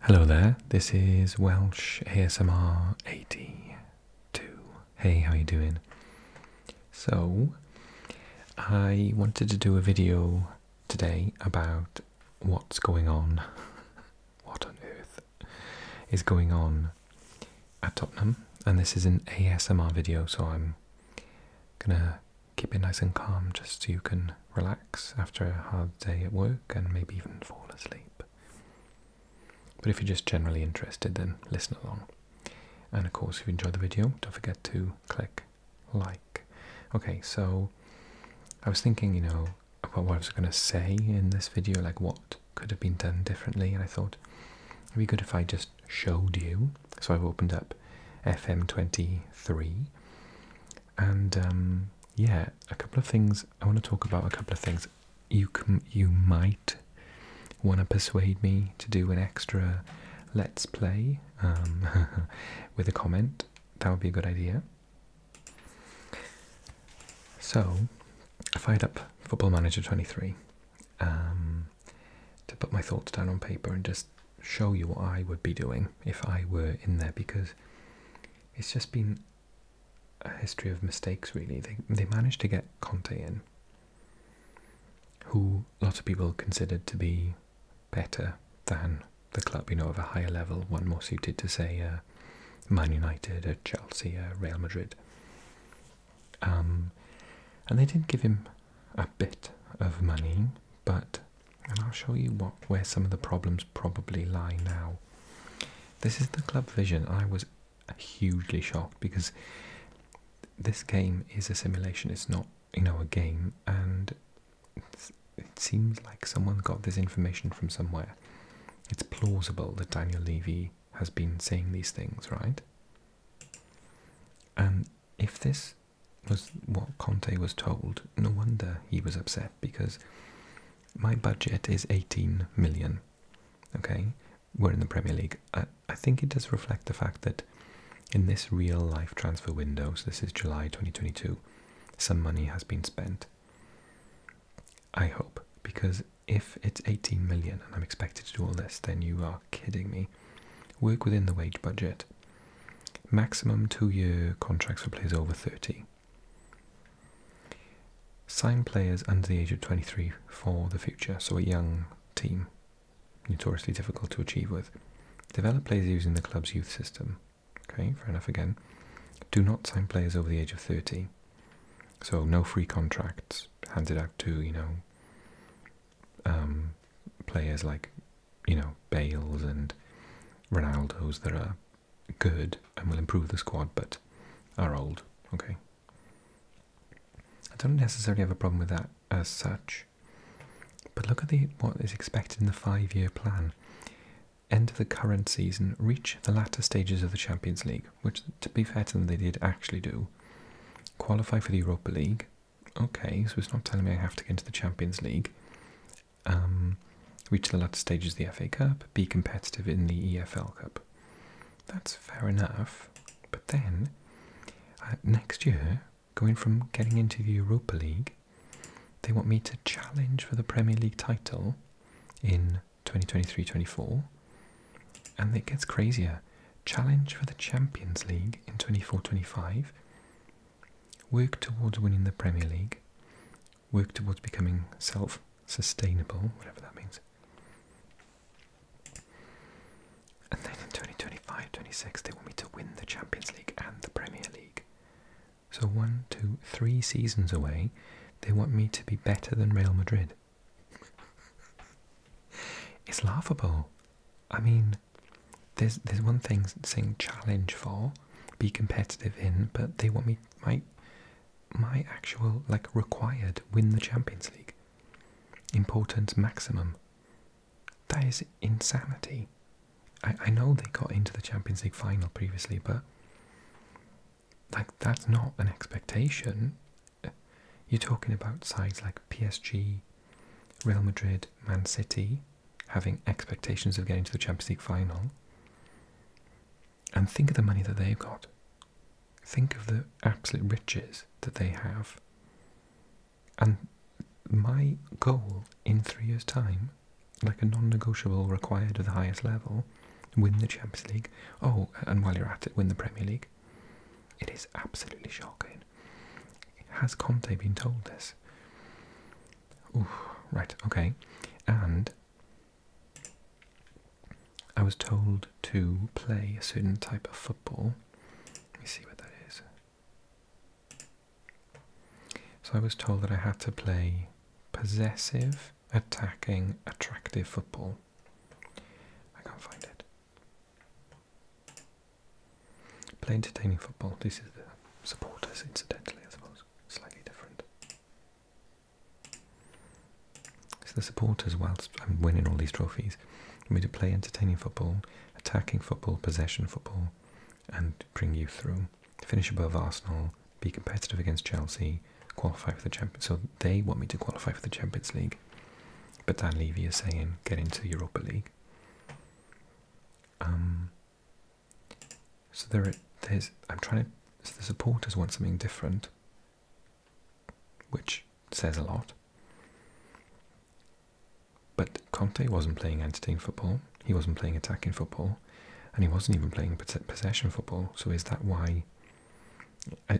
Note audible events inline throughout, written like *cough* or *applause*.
Hello there, this is Welsh ASMR 82. Hey, how you doing? So, I wanted to do a video today about what's going on, *laughs* what on earth is going on at Tottenham, and this is an ASMR video, so I'm gonna keep it nice and calm just so you can relax after a hard day at work and maybe even fall asleep. But if you're just generally interested, then listen along. And of course, if you enjoyed the video, don't forget to click like. Okay, so I was thinking, you know, what was I going to say in this video, like what could have been done differently, and I thought it'd be good if I just showed you. So I've opened up FM23 and um, yeah, a couple of things I want to talk about. A couple of things you can, you might want to persuade me to do an extra let's play um, *laughs* with a comment. That would be a good idea. So, I fired up Football Manager 23 um, to put my thoughts down on paper and just show you what I would be doing if I were in there because it's just been a history of mistakes really. They they managed to get Conte in, who a lot of people considered to be better than the club, you know, of a higher level, one more suited to say uh, Man United Chelsea Real Madrid. Um, and they did not give him a bit of money, but and I'll show you what where some of the problems probably lie now. This is the Club Vision. I was hugely shocked because this game is a simulation. It's not you know a game, and it seems like someone got this information from somewhere. It's plausible that Daniel Levy has been saying these things, right? And if this was what Conte was told. No wonder he was upset because my budget is 18 million. Okay, we're in the Premier League. I, I think it does reflect the fact that in this real life transfer window, so this is July 2022, some money has been spent. I hope, because if it's 18 million and I'm expected to do all this, then you are kidding me. Work within the wage budget. Maximum two year contracts for players over 30. Sign players under the age of 23 for the future, so a young team, notoriously difficult to achieve with. Develop players using the club's youth system. Okay, fair enough again. Do not sign players over the age of 30. So no free contracts handed out to, you know, um, players like you know, Bales and Ronaldos that are good and will improve the squad but are old, okay? I don't necessarily have a problem with that as such. But look at the what is expected in the five-year plan. End of the current season, reach the latter stages of the Champions League, which, to be fair to them, they did actually do. Qualify for the Europa League, Okay, so it's not telling me I have to get into the Champions League. Um, reach the latter stages of the FA Cup, be competitive in the EFL Cup. That's fair enough. But then, uh, next year, going from getting into the Europa League, they want me to challenge for the Premier League title in 2023-24. And it gets crazier. Challenge for the Champions League in 24-25 work towards winning the Premier League, work towards becoming self sustainable, whatever that means. And then in 2025 26, they want me to win the Champions League and the Premier League. So, one, two, three seasons away, they want me to be better than Real Madrid. *laughs* it's laughable. I mean, there's there's one thing saying challenge for, be competitive in, but they want me my my actual like required win the Champions League. Importance maximum. That is insanity. I, I know they got into the Champions League final previously, but like that's not an expectation. You're talking about sides like PSG, Real Madrid, Man City, having expectations of getting to the Champions League final. And think of the money that they've got. Think of the absolute riches that they have. And my goal in three years' time, like a non negotiable required at the highest level, win the Champions League. Oh, and while you're at it, win the Premier League. It is absolutely shocking. Has Conte been told this? right, okay. And I was told to play a certain type of football. Let me see what that is. So I was told that I had to play possessive, attacking, attractive football. I can't find it. Play entertaining football. This is the supporters, incidentally, I suppose. Slightly different. It's the supporters, whilst I'm winning all these trophies, we to play entertaining football, attacking football, possession football, and bring you through. Finish above Arsenal, be competitive against Chelsea, qualify for the Champions So they want me to qualify for the Champions League. But Dan Levy is saying get into Europa League. Um, so there, there's. I'm trying to. So the supporters want something different, which says a lot. But Conte wasn't playing entertaining football. He wasn't playing attacking football, and he wasn't even playing possession football. So is that why?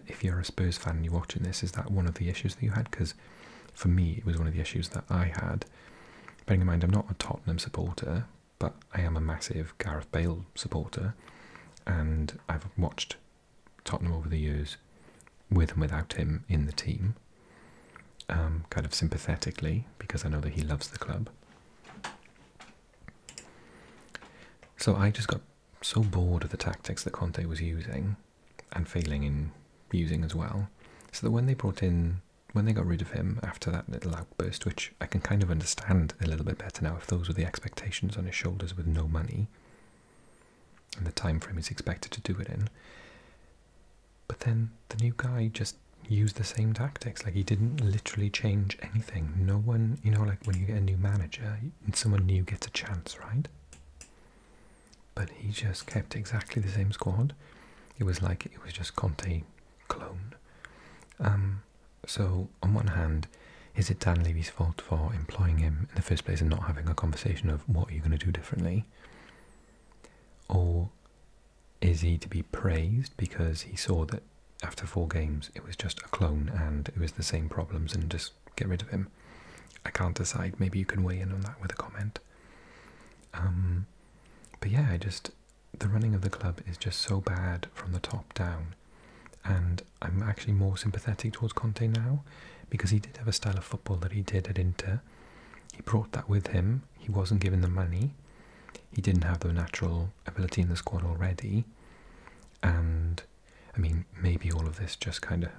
If you're a Spurs fan and you're watching this, is that one of the issues that you had? Because for me it was one of the issues that I had. Bearing in mind, I'm not a Tottenham supporter, but I am a massive Gareth Bale supporter, and I've watched Tottenham over the years with and without him in the team, um, kind of sympathetically, because I know that he loves the club. So I just got so bored of the tactics that Conte was using and failing in using as well, so that when they brought in, when they got rid of him after that little outburst, which I can kind of understand a little bit better now, if those were the expectations on his shoulders with no money and the time frame he's expected to do it in. But then the new guy just used the same tactics. Like he didn't literally change anything. No one, you know, like when you get a new manager, someone new gets a chance, right? But he just kept exactly the same squad. It was like it was just Conte clone. Um, so on one hand, is it Dan Levy's fault for employing him in the first place and not having a conversation of what are you going to do differently? Or is he to be praised because he saw that after four games it was just a clone and it was the same problems and just get rid of him. I can't decide. Maybe you can weigh in on that with a comment. Um, but yeah, I just the running of the club is just so bad from the top down, and I'm actually more sympathetic towards Conte now because he did have a style of football that he did at Inter. He brought that with him. He wasn't given the money. He didn't have the natural ability in the squad already. And I mean, maybe all of this just kind of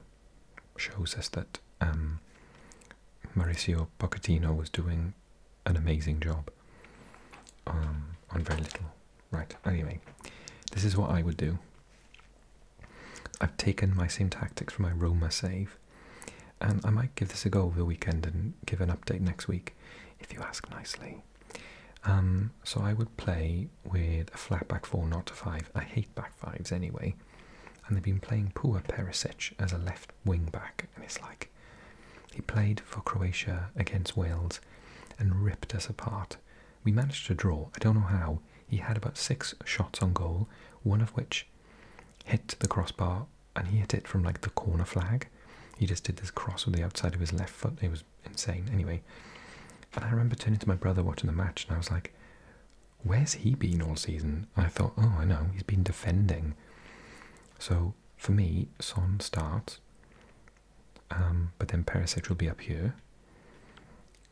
shows us that um, Mauricio Pochettino was doing an amazing job um, on very little. Right, anyway, this is what I would do. I've taken my same tactics from my Roma save, and I might give this a go over the weekend and give an update next week, if you ask nicely. Um, so I would play with a flat back four, not a five. I hate back fives anyway. And they've been playing poor Perisic as a left wing back. And it's like, he played for Croatia against Wales and ripped us apart. We managed to draw. I don't know how. He had about six shots on goal, one of which hit the crossbar and he hit it from like the corner flag. He just did this cross with the outside of his left foot. He was insane. Anyway, and I remember turning to my brother watching the match, and I was like, "Where's he been all season?" I thought, "Oh, I know, he's been defending." So for me, Son starts, um, but then Perisic will be up here.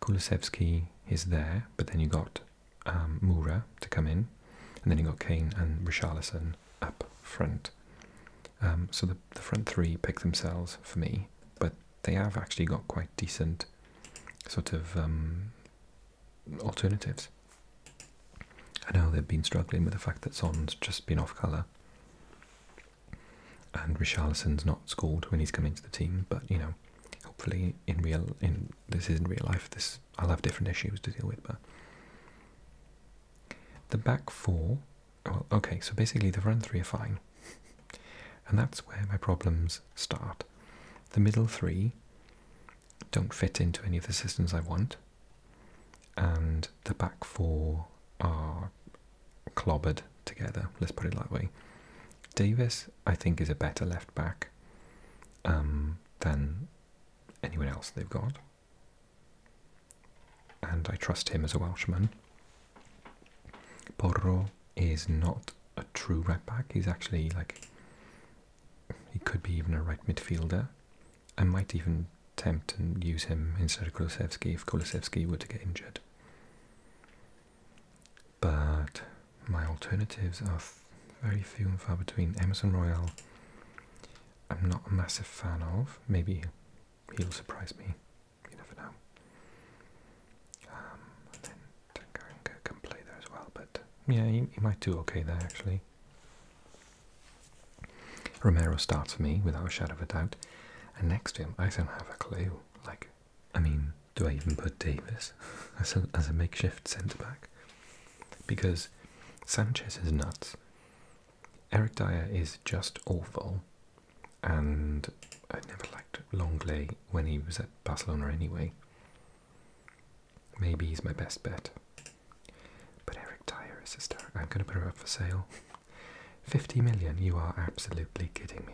Kulisevsky is there, but then you got um, Mura to come in, and then you got Kane and Richarlison up front. Um, so the the, front three pick themselves for me, but they have actually got quite decent sort of um, alternatives. I know they've been struggling with the fact that Son's just been off colour and Richarlison's not scored when he's come into the team, but you know, hopefully in real in this isn't real life, this I'll have different issues to deal with, but the back four well, okay, so basically the front three are fine. and that's where my problems start. The middle three don't fit into any of the systems I want. And the back four are clobbered together, let's put it that way. Davis, I think, is a better left back um, than anyone else they've got. And I trust him as a Welshman. Porro is not a true right back. He's actually like he could be even a right midfielder. I might even tempt and use him instead of Kolosevsky if Kolosevsky were to get injured. But my alternatives are very few and far between. Emerson Royale, I'm not a massive fan of. Maybe he'll surprise me you never know. Um, then Tankarenko can play there as well, but yeah, he, he might do okay there actually. Romero starts for me without a shadow of a doubt, and next to him, I don't have a clue. Like, I mean, do I even put Davis *laughs* as as a makeshift centre back? Because Sanchez is nuts. Eric Dyer is just awful, and I never liked Longley when he was at Barcelona anyway. Maybe he's my best bet. But Eric Dyer is hysterical. I'm going to put her up for sale. 50 million? You are absolutely kidding me.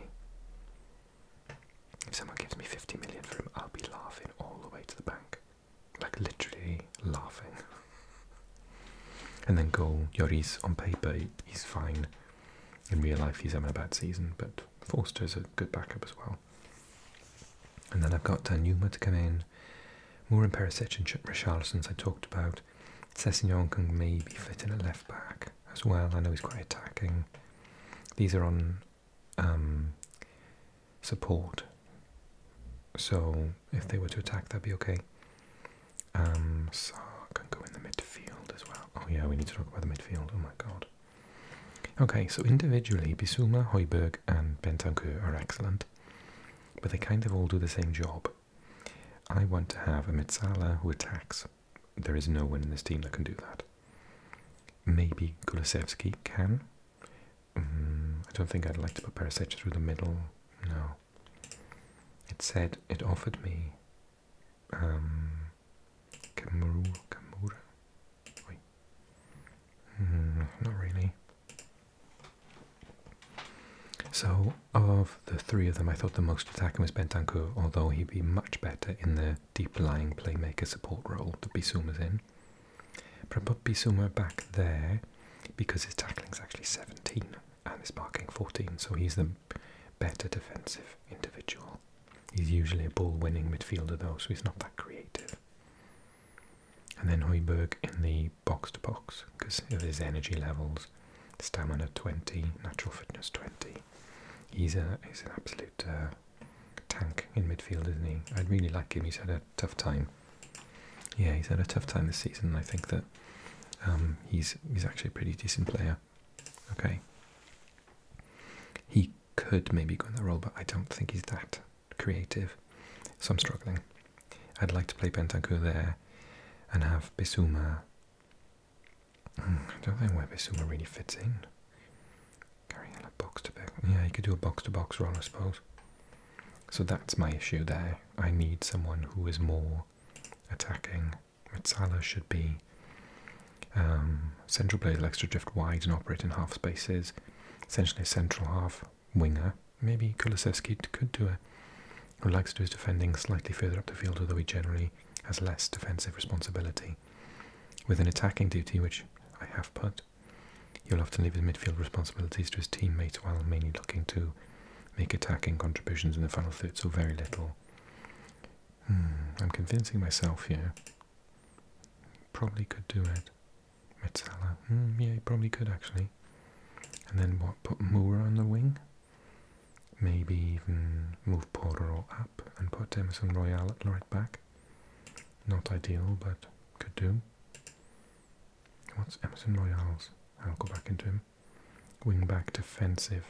If someone gives me 50 million for him, I'll be laughing all the way to the bank. Like, literally laughing. *laughs* And then goal, Yoris on paper, he's fine. In real life, he's having a bad season, but Forster is a good backup as well. And then I've got Danuma uh, to come in. More in Perisic and Richarlison's I talked about. Sessignon can maybe fit in at left back as well. I know he's quite attacking. These are on um, support. So if they were to attack, that'd be okay. Um, Saar can go in the midfield as well. Oh yeah, we need to talk about the midfield. Oh my god. Okay, so individually, Bisuma, Hoiberg, and Bentancur are excellent, but they kind of all do the same job. I want to have a Mitsala who attacks. There is no one in this team that can do that. Maybe Kulisevsky can. Mm, I don't think I'd like to put Perisic through the middle. No, it said it offered me um, Kamuru. Kamura? Wait. Hmm, not really. So, of the three of them, I thought the most attacking was Bentancur, although he'd be much better in the deep-lying playmaker support role that Bisuma's in. But I put Bisuma back there because his tackling's actually 17 and is marking 14, so he's the better defensive individual. He's usually a ball winning midfielder though, so he's not that creative. And then Hoiberg in the box to box because of his energy levels, stamina 20, natural fitness 20. He's, a, he's an absolute uh, tank in midfield, isn't he? I would really like him, he's had a tough time yeah, he's had a tough time this season. I think that um, he's he's actually a pretty decent player. Okay. He could maybe go in that role, but I don't think he's that creative. So I'm struggling. I'd like to play Bentancur there and have Bisuma. Hmm, I don't think where Bisuma really fits in. Carrying a box to Yeah, he could do a box to box role, I suppose. So that's my issue there. I need someone who is more attacking. Mitsala should be um, central player, likes to drift wide and operate in half spaces. Essentially a central half winger. Maybe Kulisevsky could do it. Who likes to do his defending slightly further up the field, although he generally has less defensive responsibility. With an attacking duty, which I have put, He'll have to leave his midfield responsibilities to his teammates while mainly looking to make attacking contributions in the final third, so very little. Hmm, I'm convincing myself here. Probably could do it. Metzala. Hmm, yeah, he probably could actually. And then what? Put Moura on the wing? Maybe even move Porro up and put Emerson Royale at right back. Not ideal, but could do. What's Emerson Royale's? I'll go back into him. Wing back defensive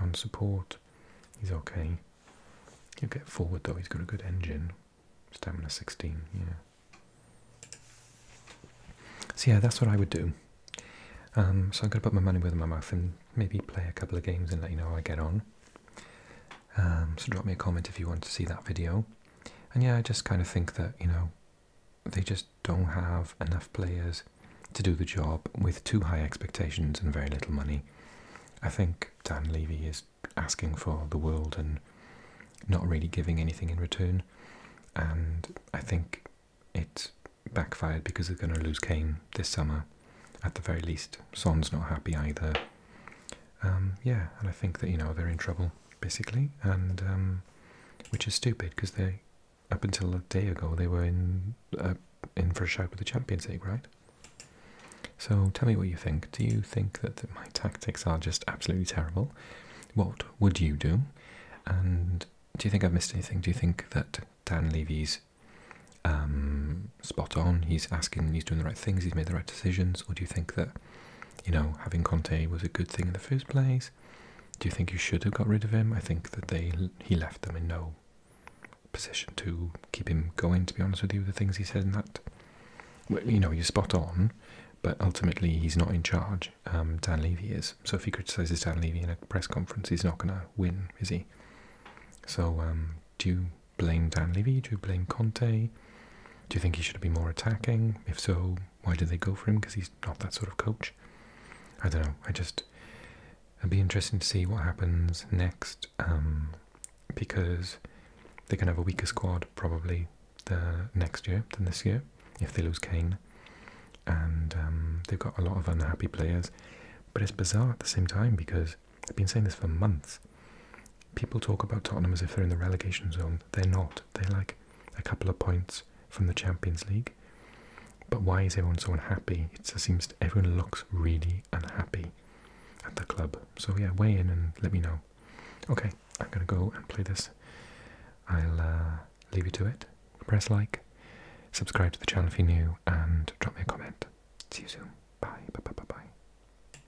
on support. He's okay. He'll get forward though, he's got a good engine. Stamina 16, yeah. So yeah, that's what I would do. Um, so I'm going to put my money where my mouth and maybe play a couple of games and let you know how I get on. Um, so drop me a comment if you want to see that video and yeah, I just kind of think that you know they just don't have enough players to do the job with too high expectations and very little money. I think Dan Levy is asking for the world and not really giving anything in return, and I think it backfired because they're going to lose Kane this summer. At the very least, Son's not happy either. Um, yeah, and I think that you know they're in trouble basically, and um, which is stupid because they, up until a day ago, they were in uh, in for a shout with the Champions League, right? So tell me what you think. Do you think that my tactics are just absolutely terrible? What would you do? And do you think I've missed anything? Do you think that Dan Levy's um, spot on? He's asking, he's doing the right things, he's made the right decisions, or do you think that you know, having Conte was a good thing in the first place. Do you think you should have got rid of him? I think that they he left them in no position to keep him going. To be honest with you, the things he said and that, you know, you're spot on, but ultimately he's not in charge. Um, Dan Levy is. So if he criticises Dan Levy in a press conference, he's not going to win, is he? So um, do you blame Dan Levy? Do you blame Conte? Do you think he should be more attacking? If so, why did they go for him? Because he's not that sort of coach. I don't know. I just it'd be interesting to see what happens next um, because they're gonna have a weaker squad probably the next year than this year if they lose Kane, and um, they've got a lot of unhappy players. But it's bizarre at the same time because I've been saying this for months. People talk about Tottenham as if they're in the relegation zone. They're not. They're like a couple of points from the Champions League. But why is everyone so unhappy? It just seems everyone looks really unhappy at the club. So yeah, weigh in and let me know. Okay, I'm gonna go and play this. I'll uh, leave you to it. Press like, subscribe to the channel if you're new, and drop me a comment. See you soon. Bye. Bye. Bye. Bye. bye.